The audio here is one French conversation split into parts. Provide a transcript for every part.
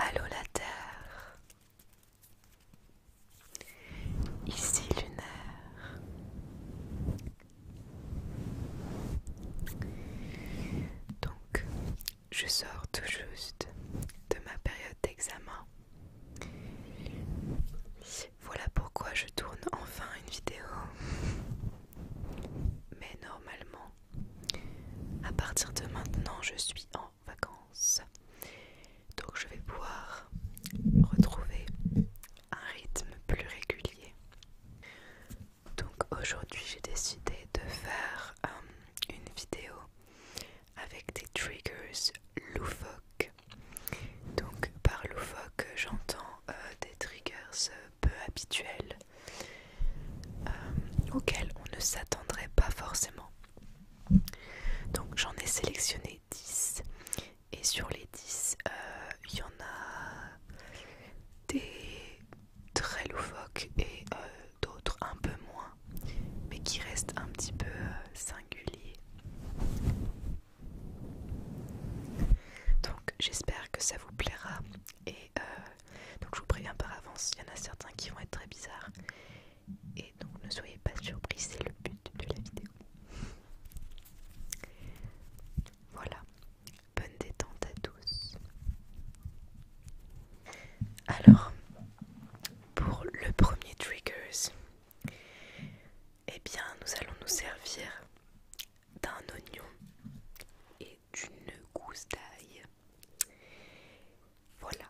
Allô la Terre, ici lunaire, donc je sors tout juste de ma période d'examen. Voilà pourquoi je tourne enfin une vidéo. Mais normalement, à partir de maintenant, je suis en vacances. Donc je vais pouvoir retrouver un rythme plus régulier. Donc aujourd'hui, j'ai décidé de faire euh, une vidéo avec des triggers loufoques. Donc par loufoque j'entends euh, des triggers peu habituels euh, auxquels on ne s'attendrait pas forcément. Donc j'en ai sélectionné 10 et sur les 10 il euh, y en a des très loufoques et d'autres un peu moins, mais qui restent un petit peu euh, singuliers. Donc j'espère que ça vous plaira et euh, donc je vous préviens par avance, il y en a certains qui vont être très bizarres et donc ne soyez pas surpris, c'est le but de la vidéo. Voilà, bonne détente à tous. Alors, pour le premier triggers, eh bien, nous allons nous servir d'un oignon et d'une gousse d'ail. Voilà.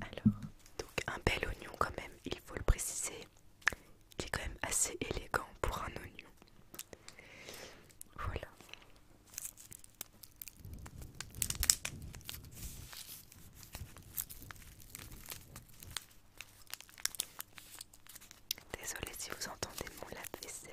Alors, donc un bel oignon quand même, il faut le préciser, qui est quand même assez élégant pour un oignon. Voilà. Désolée si vous entendez mon la vaisselle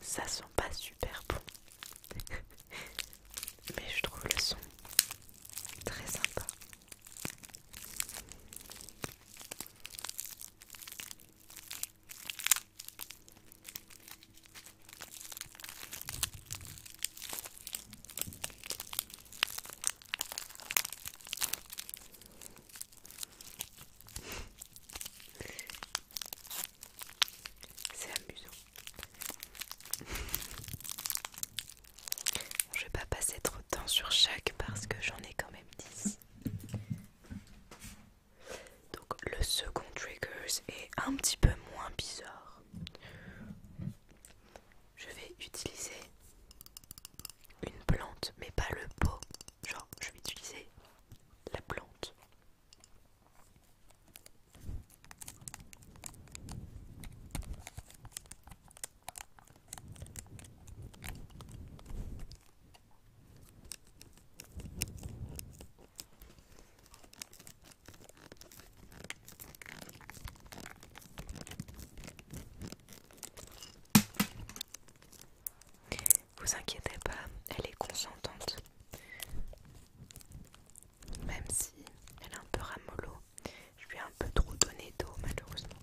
Ça sent pas super bon, mais je trouve le son très sympa. C'est amusant. je vais pas passer trop de temps sur chaque parce que j'en ai quand même 10. Donc le second trigger est un petit peu moins bizarre je vais utiliser une plante, mais pas le pot. Genre, je vais utiliser la plante. Vous inquiétez pas, elle est consentante. Même si elle est un peu ramolo, je lui ai un peu trop donné d'eau malheureusement.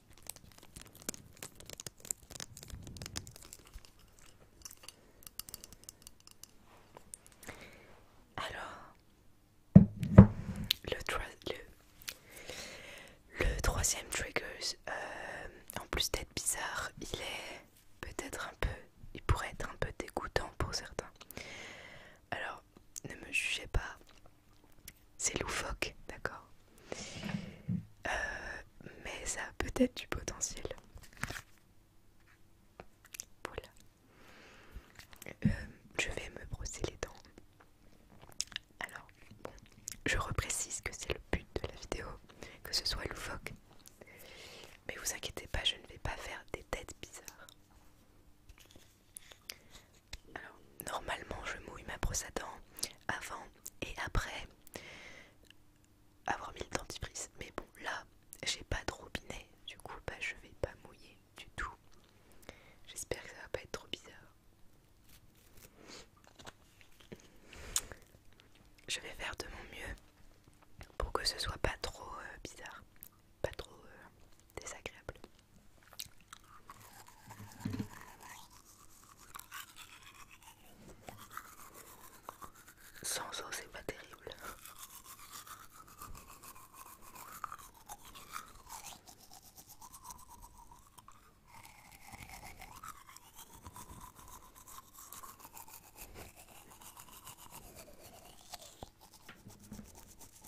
Alors, le, le, troisième trigger, euh, en plus d'être bizarre, il est peut-être un peu, il pourrait être un peu dégoûtant pour certains. Alors, ne me jugez pas, c'est loufoque, d'accord euh, Mais ça a peut-être du potentiel. Voilà. Euh, je vais me brosser les dents. Alors, je reprécise que c'est le but de la vidéo, que ce soit loufoque. Mais vous inquiétez pas, je ne vais pas faire des têtes bizarres. Alors, normalement, je mouille ma brosse à dents avant et après avoir mis le dentifrice. Mais bon, là, j'ai pas de robinet, du coup, bah, je vais pas mouiller du tout. J'espère que ça va pas être trop bizarre. Je vais faire de mon mieux pour que ce soit pas trop euh, bizarre, pas trop euh, désagréable. Sans eau, c'est pas terrible.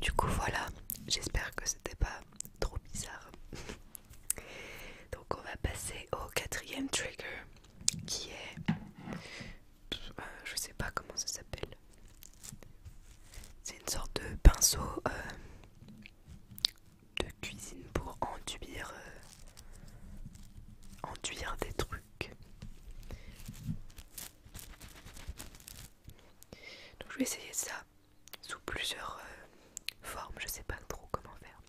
Du coup voilà, j'espère que c'était pas trop bizarre. Donc on va passer au quatrième trigger qui est euh, je sais pas comment ça s'appelle c'est une sorte de pinceau euh, de cuisine pour enduire euh, enduire des trucs donc je vais essayer ça sous plusieurs formes je sais pas trop comment faire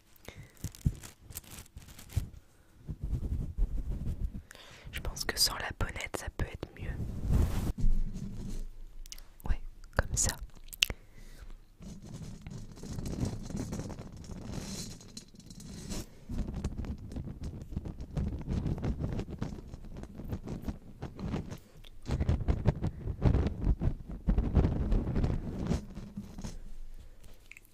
je pense que sans la bonnette, ça peut être mieux. Ouais, comme ça.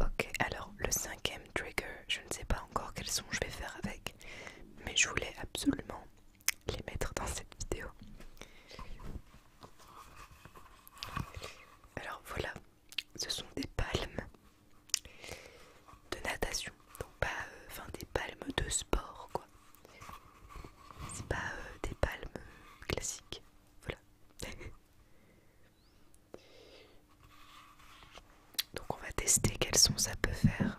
Ok, alors le cinquième trigger, je ne sais pas encore quels sont, je vais faire avec, mais je voulais absolument les mettre dans cette vidéo. Alors voilà, ce sont des palmes de natation, donc pas, euh, enfin des palmes de sport quoi. C'est pas euh, des palmes classiques, voilà. Donc on va tester quel son ça peut faire.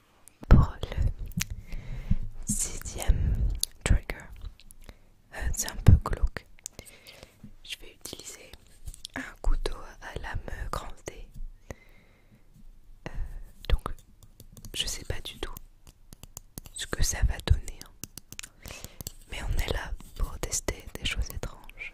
Pour le sixième trigger, euh, c'est un peu glauque. Je vais utiliser un couteau à lame grande euh, D. donc, je sais pas du tout ce que ça va donner, hein. mais on est là pour tester des choses étranges.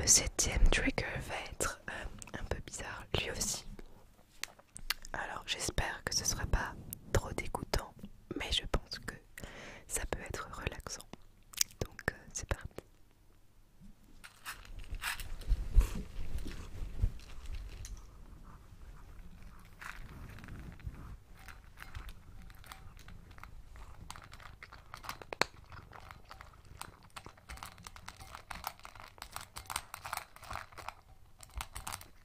Le septième trigger va être euh, un peu bizarre lui aussi. Alors j'espère que ce sera pas trop dégoûtant, mais je pense que ça peut être relaxant. Donc euh, c'est parti.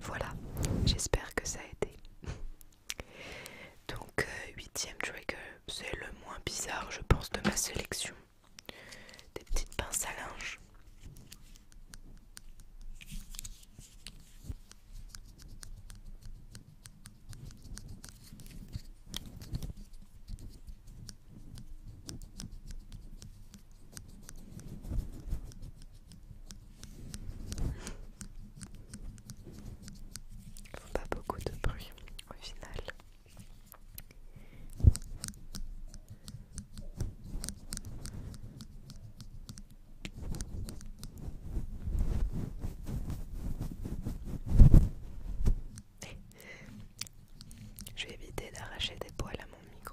Voilà, j'espère que ça a été. Donc euh, huitième c'est le moins bizarre je pense de ma sélection. Des petites pinces à linge. Faut pas beaucoup de bruit au final. Je vais éviter d'arracher des poils à mon micro.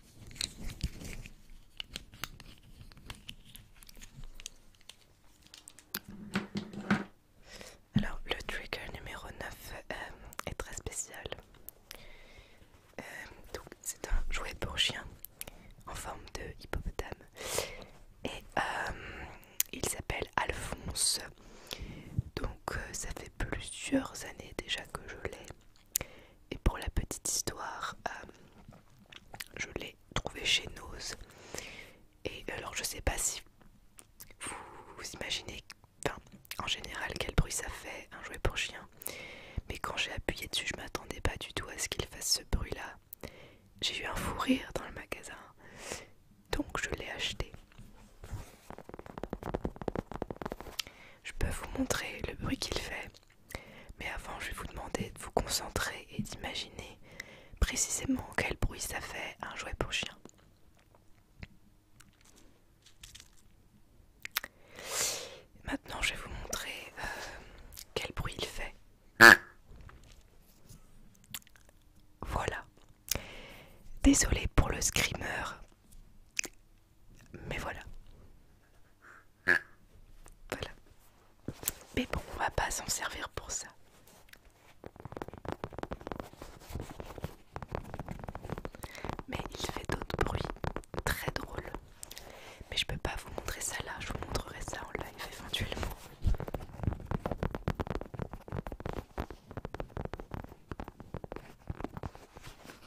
Alors le trigger numéro 9 euh, est très spécial. Euh, c'est un jouet pour chien en forme de hippopotame. Et euh, il s'appelle Alphonse. Donc ça fait plusieurs années déjà que je l'ai. Et pour la petite histoire, euh, je l'ai trouvé chez Nose. Et alors, je sais pas si vous, imaginez, en général, quel bruit ça fait un jouet pour chien. Mais quand j'ai appuyé dessus, je m'attendais pas du tout à ce qu'il fasse ce bruit-là. J'ai eu un fou rire dans le magasin, donc je l'ai acheté. Je peux vous montrer le bruit qu'il fait. Mais avant, je vais vous demander de vous concentrer et d'imaginer précisément quel bruit ça fait un jouet pour chien. Maintenant, je vais vous montrer euh, quel bruit il fait. Voilà. Désolé pour le screamer. Mais voilà. Voilà. Mais bon, on va pas s'en servir pour ça. Mais il fait d'autres bruits très drôles. Mais je peux pas vous montrer ça là, je vous montrerai ça en live éventuellement.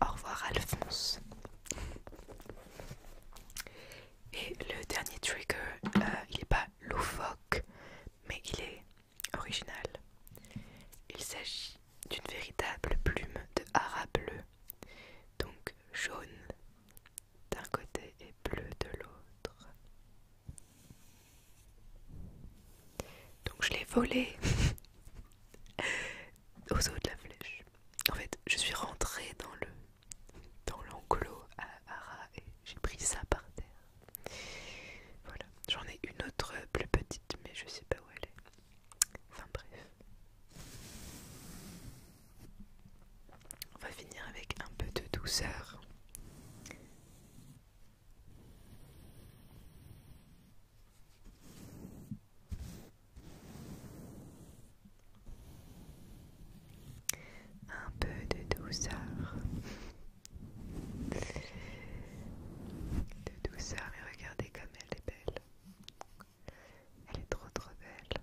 Au revoir Alphonse, et le dernier trigger, euh, il n'est pas loufoque, mais il est original. Il s'agit d'une véritable plume de hara bleu, donc jaune d'un côté et bleu de l'autre. Donc je l'ai volé au saut de la flèche. En fait, je suis rentrée dans le dans l'enclos à Ara et j'ai pris ça par terre. Voilà, j'en ai une autre plus petite, mais je sais pas où elle est. Enfin bref. On va finir avec un peu de douceur. Un peu de douceur. De douceur et regardez comme elle est belle. Elle est trop trop belle.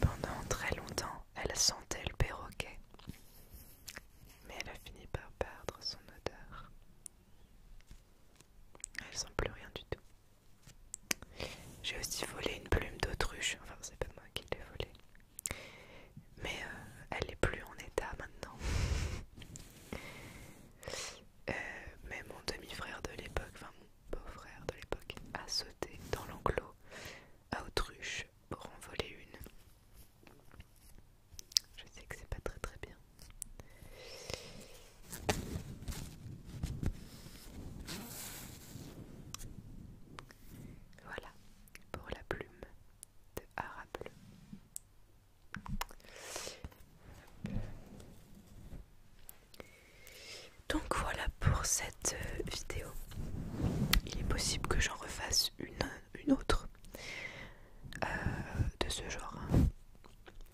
Pendant très longtemps, elle sentait le perroquet, mais elle a fini par perdre son odeur. Elle sent plus rien du tout. J'ai aussi volé une plume d'autruche, enfin c'est pas moi qui l'ai volée, mais euh, elle n'est plus en état maintenant. Euh, mais mon demi-frère de l'époque, enfin mon beau-frère de l'époque, a sauté dans l'enclos à autruche pour en voler une. Je sais que c'est pas très très bien. Voilà pour la plume de Arable. Donc voilà pour cette euh, vidéo. Il est possible que j'en refasse une, autre euh, de ce genre hein,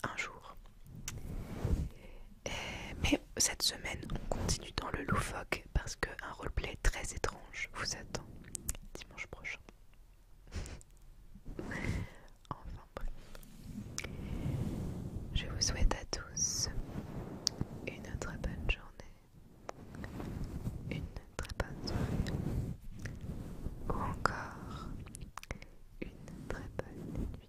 un jour. mais cette semaine, on continue dans le loufoque parce qu'un roleplay très étrange vous attend dimanche prochain. enfin bref. Je vous souhaite à tous une très bonne journée, une très bonne soirée ou encore une très bonne nuit.